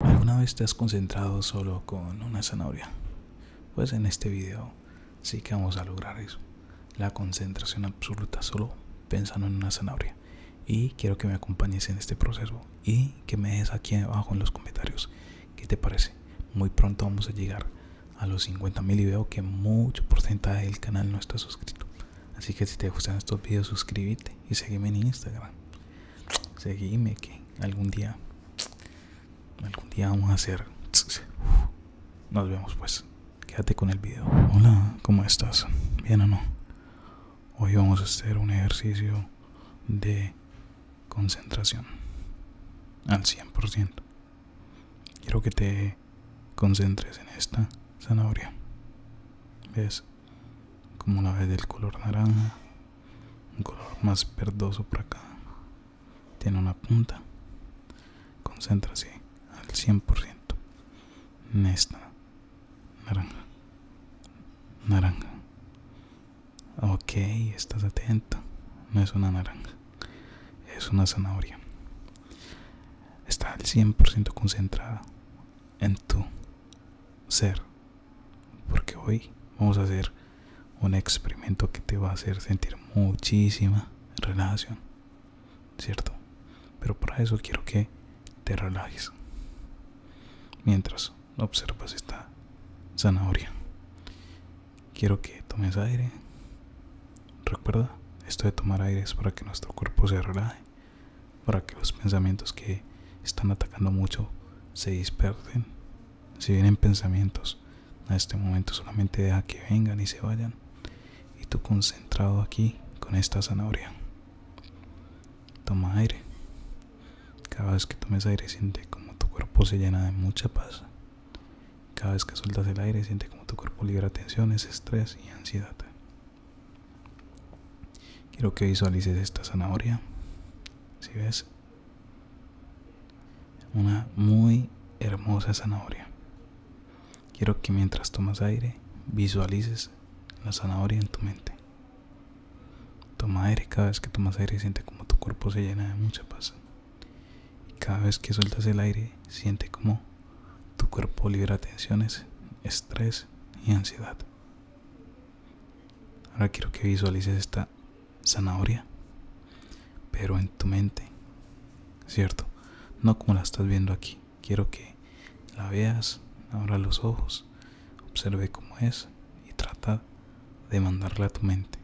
¿Alguna vez te has concentrado solo con una zanahoria? Pues en este video sí que vamos a lograr eso. La concentración absoluta solo pensando en una zanahoria. Y quiero que me acompañes en este proceso y que me des aquí abajo en los comentarios qué te parece. Muy pronto vamos a llegar a los 50 mil y veo que mucho porcentaje del canal no está suscrito. Así que si te gustan estos videos suscríbete y sígueme en Instagram seguime que algún día algún día vamos a hacer nos vemos pues quédate con el video hola cómo estás bien o no hoy vamos a hacer un ejercicio de concentración al 100% quiero que te concentres en esta zanahoria ves como la vez del color naranja un color más verdoso por acá tiene una punta concéntrase al 100% en esta naranja naranja ok estás atento no es una naranja es una zanahoria está al 100% concentrada en tu ser porque hoy vamos a hacer un experimento que te va a hacer sentir muchísima relajación, ¿cierto? Pero para eso quiero que te relajes mientras observas esta zanahoria. Quiero que tomes aire. Recuerda, esto de tomar aire es para que nuestro cuerpo se relaje para que los pensamientos que están atacando mucho se dispersen. Si vienen pensamientos, a este momento solamente deja que vengan y se vayan. Y tú concentrado aquí con esta zanahoria. Toma aire. Cada vez que tomes aire siente como tu cuerpo se llena de mucha paz. Cada vez que sueltas el aire siente como tu cuerpo libera tensiones, estrés y ansiedad. Quiero que visualices esta zanahoria. Si ves, una muy hermosa zanahoria. Quiero que mientras tomas aire visualices la zanahoria en tu mente. Toma aire, cada vez que tomas aire siente como tu cuerpo se llena de mucha paz. cada vez que sueltas el aire siente como tu cuerpo libera tensiones, estrés y ansiedad. Ahora quiero que visualices esta zanahoria, pero en tu mente, ¿cierto? No como la estás viendo aquí. Quiero que la veas, abra los ojos, observe cómo es y trata de mandarla a tu mente.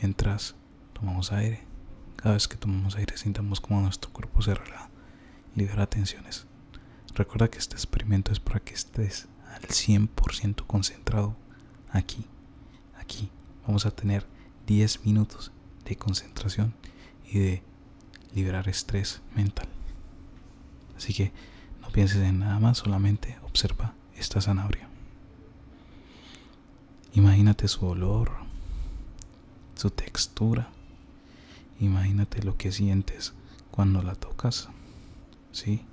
Mientras tomamos aire, cada vez que tomamos aire sintamos como nuestro cuerpo se relaja libera tensiones. Recuerda que este experimento es para que estés al 100% concentrado aquí. Aquí vamos a tener 10 minutos de concentración y de liberar estrés mental. Así que no pienses en nada más, solamente observa esta zanahoria. Imagínate su olor, su textura, Imagínate lo que sientes cuando la tocas. ¿Sí?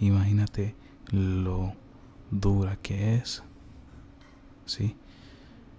Imagínate lo dura que es. ¿Sí?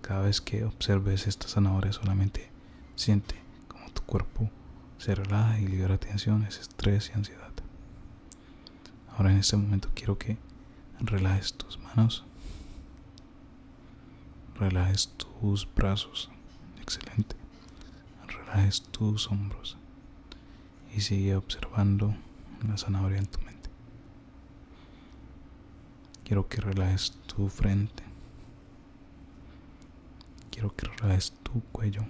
Cada vez que observes esta zanahoria solamente siente como tu cuerpo se relaja y libera tensiones, estrés y ansiedad. Ahora en este momento quiero que relajes tus manos relajes tus brazos, excelente, relajes tus hombros y sigue observando la zanahoria en tu mente. Quiero que relajes tu frente, quiero que relajes tu cuello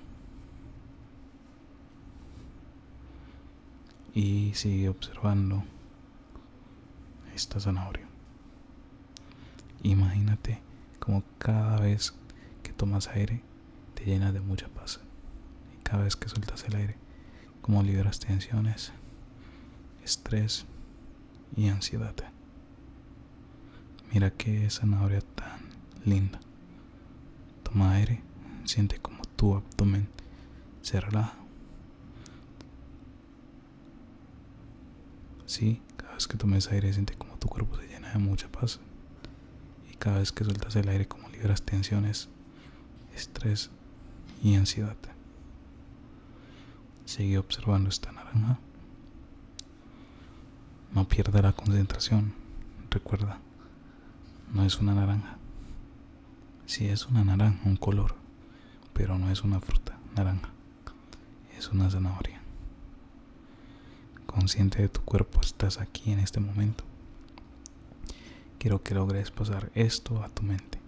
y sigue observando esta zanahoria. Imagínate como cada vez que tomas aire te llenas de mucha paz. Y cada vez que sueltas el aire, como liberas tensiones, estrés y ansiedad. Mira qué zanahoria tan linda. Toma aire, siente como tu abdomen se relaja. Sí, cada vez que tomes aire siente como tu cuerpo se llena de mucha paz. Y cada vez que sueltas el aire como liberas tensiones, estrés y ansiedad. Sigue observando esta naranja. No pierda la concentración. Recuerda, no es una naranja. Si es una naranja, un color, pero no es una fruta naranja es una zanahoria. Consciente de tu cuerpo estás aquí en este momento. Quiero que logres pasar esto a tu mente.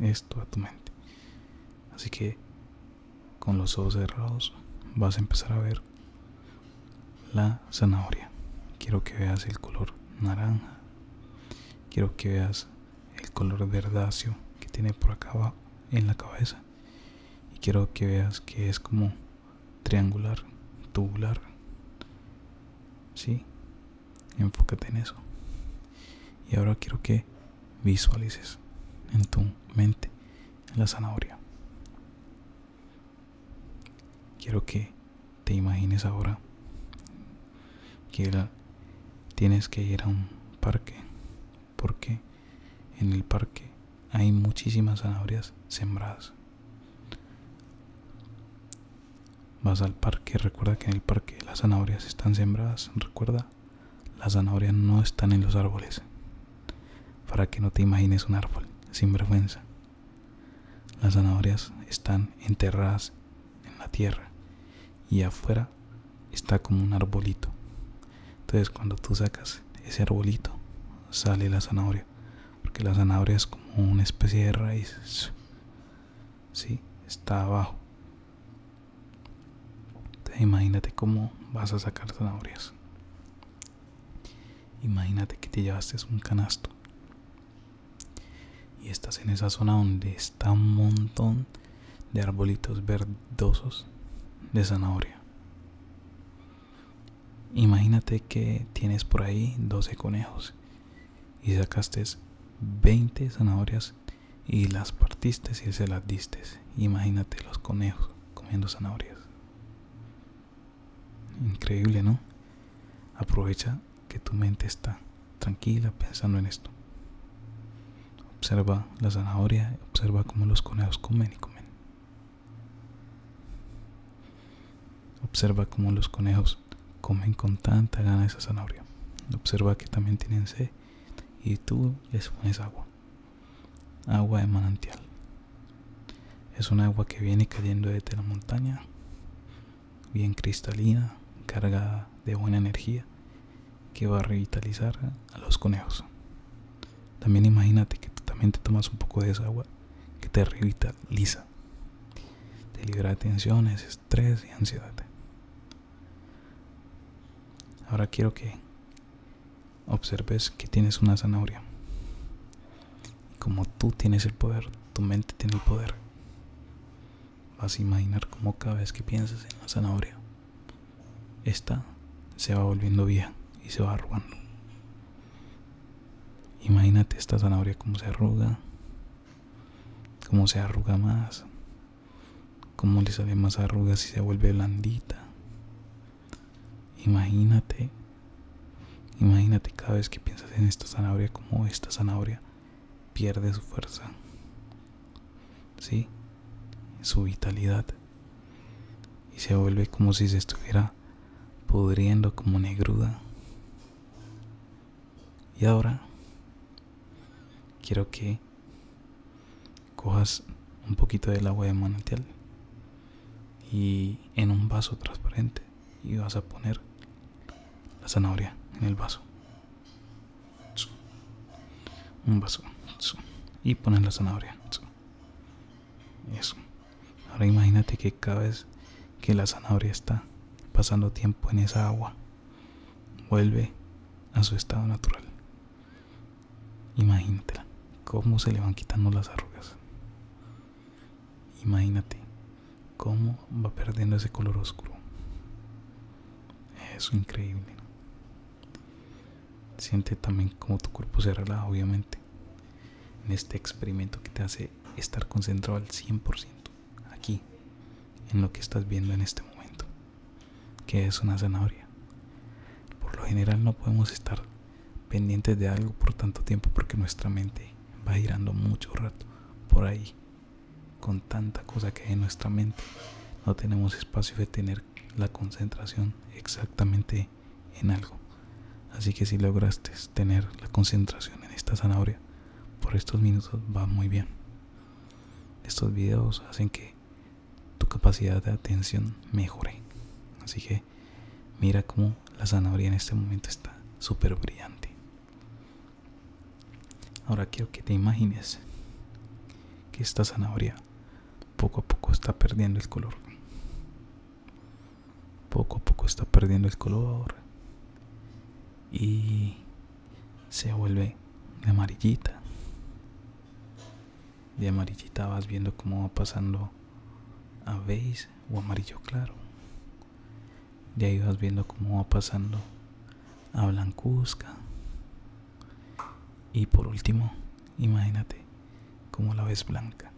Esto a tu mente. Así que con los ojos cerrados vas a empezar a ver la zanahoria. Quiero que veas el color naranja. Quiero que veas el color verdáceo que tiene por acá en la cabeza y quiero que veas que es como triangular tubular si enfócate en eso y ahora quiero que visualices en tu mente la zanahoria quiero que te imagines ahora que tienes que ir a un parque porque en el parque hay muchísimas zanahorias sembradas. Vas al parque, recuerda que en el parque las zanahorias están sembradas, recuerda, las zanahorias no están en los árboles. Para que no te imagines un árbol, sin vergüenza. Las zanahorias están enterradas en la tierra y afuera está como un arbolito. Entonces cuando tú sacas ese arbolito sale la zanahoria. Porque la zanahoria es como una especie de raíz. si? está abajo. imagínate cómo vas a sacar zanahorias. Imagínate que te llevaste un canasto y estás en esa zona donde un montón de arbolitos verdosos de zanahoria. Imagínate que tienes por ahí 12 conejos y sacaste 20 zanahorias y las partiste y se las diste. Imagínate los conejos comiendo zanahorias. Increíble, ¿no? Aprovecha que tu mente está tranquila pensando en esto. Observa la zanahoria, observa cómo los conejos comen y comen. Observa cómo los conejos comen con tanta gana esa zanahoria. Observa que también tienen sed y tú les pones agua. Agua de manantial. Es un agua que viene cayendo desde la montaña, bien cristalina, cargada de buena energía que va a revitalizar a los conejos. También imagínate que tú también te tomas un poco de esa agua que te revitaliza. Te libera de tensiones, estrés y ansiedad. Ahora quiero que observes que tienes una zanahoria. Y como tú tienes el poder, tu mente tiene el poder. Vas a imaginar cómo cada vez que piensas en la zanahoria, esta se va volviendo vieja y se va arrugando. Imagínate esta zanahoria cómo se arruga, cómo se arruga más, cómo le sale más arrugas y se vuelve blandita. Imagínate, imagínate cada vez que piensas en esta zanahoria, como esta zanahoria pierde su fuerza, su vitalidad y se vuelve como si se estuviera pudriendo como negruda. Y ahora quiero que cojas un poquito del agua de manantial y en un vaso transparente y vas a poner la zanahoria en el vaso un vaso y poner la zanahoria eso ahora imagínate que cada vez que la zanahoria está pasando tiempo en esa agua vuelve a su estado natural imagínate cómo se le van quitando las arrugas imagínate cómo va perdiendo ese color oscuro es increíble. Siente también como tu cuerpo se relaja, obviamente, en este experimento que te hace estar concentrado al 100% aquí, en lo que estás viendo en este momento, que es una zanahoria. Por lo general no podemos estar pendientes de algo por tanto tiempo porque nuestra mente va girando mucho rato por ahí con tanta cosa que hay en nuestra mente, no tenemos espacio de tener la concentración exactamente en algo. Así que si lograste tener la concentración en esta zanahoria, por estos minutos va muy bien. Estos videos hacen que tu capacidad de atención mejore. Así que mira cómo la zanahoria en este momento está súper brillante. Ahora quiero que te imagines que esta zanahoria poco a poco está perdiendo el color. Poco a poco está perdiendo el color. Y se vuelve amarillita. De amarillita vas viendo cómo va pasando a beige o amarillo claro. Ya ahí vas viendo cómo va pasando a blancuzca. Y por último, imagínate como la ves blanca.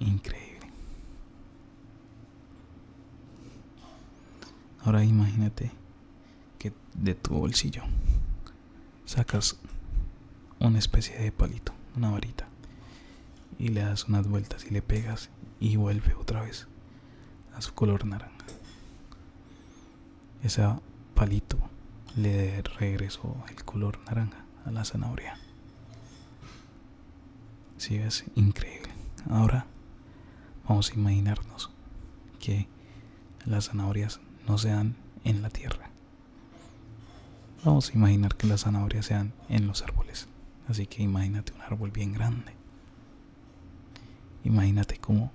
Increíble. Ahora imagínate que de tu bolsillo sacas una especie de palito, una varita y le das unas vueltas y le pegas y vuelve otra vez a su color naranja. Ese palito le regresó el color naranja a la zanahoria. Si es increíble. Ahora vamos a imaginarnos que las zanahorias no sean en la tierra. Vamos a imaginar que las zanahorias sean en los árboles. Así que imagínate un árbol bien grande Imagínate cómo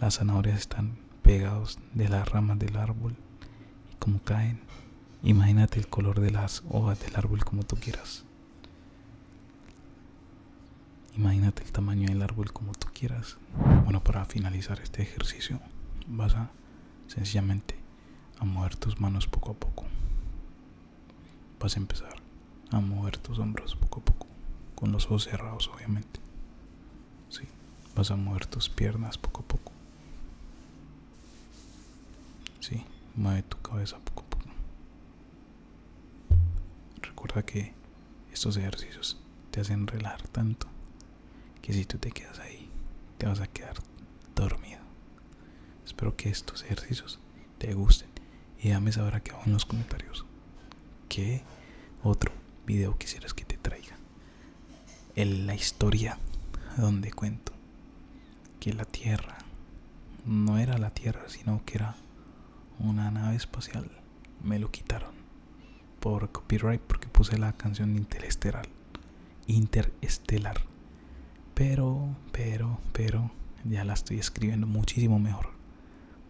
las zanahorias están pegados de las ramas del árbol y cómo caen. Imagínate el color de las hojas del árbol como tú quieras. Imagínate el tamaño del árbol como tú quieras. Bueno, para finalizar este ejercicio vas a sencillamente a mover tus manos poco a poco vas a empezar a mover tus hombros poco a poco, con los ojos cerrados obviamente. Sí, vas a mover tus piernas poco a poco. Sí, mueve tu cabeza poco a poco. Recuerda que estos ejercicios te hacen relajar tanto que si tú te quedas ahí, te vas a quedar dormido. Espero que estos ejercicios te gusten y dame saber acá abajo en los comentarios que otro video quisieras que te traiga en la historia donde cuento que la tierra no era la tierra sino que era una nave espacial me lo quitaron por copyright porque puse la canción interesteral interesteral estelar. Pero, pero, pero, ya la estoy escribiendo muchísimo mejor.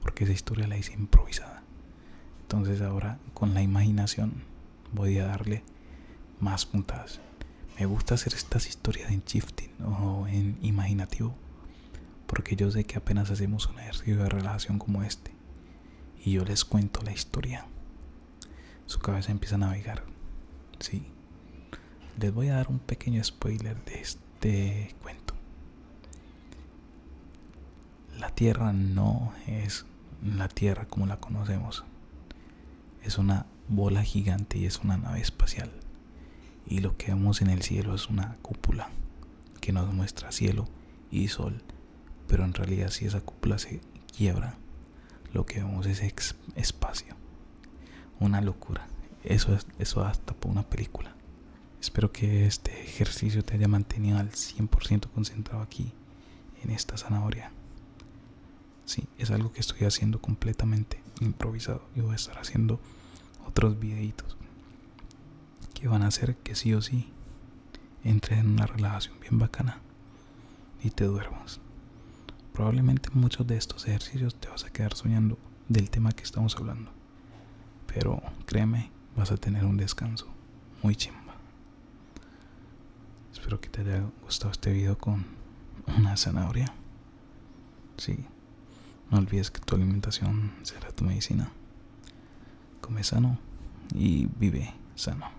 Porque esa historia la hice improvisada. Entonces ahora con la imaginación voy a darle más puntadas. Me gusta hacer estas historias en shifting o en imaginativo. Porque yo sé que apenas hacemos un ejercicio de relajación como este. Y yo les cuento la historia. Su cabeza empieza a navegar Sí, les voy a dar un pequeño spoiler de este cuento. La Tierra no es la Tierra como la conocemos. Es una bola gigante y es una nave espacial. Y lo que vemos en el cielo es una cúpula que nos muestra cielo y sol. Pero en realidad si esa cúpula se quiebra, lo que vemos es espacio. Una locura. Eso es eso hasta por una película. Espero que este ejercicio te haya mantenido al 100% concentrado aquí en esta zanahoria. si es algo que estoy haciendo completamente improvisado y voy a estar haciendo otros videitos que van a hacer que sí o sí entre en una relajación bien bacana y te duermas. Probablemente muchos de estos ejercicios te vas a quedar soñando del tema que estamos hablando. Pero créeme, vas a tener un descanso muy chimba. Espero que te haya gustado este video con una zanahoria. Sí, no olvides que tu alimentación será tu medicina. Come sano y vive sano.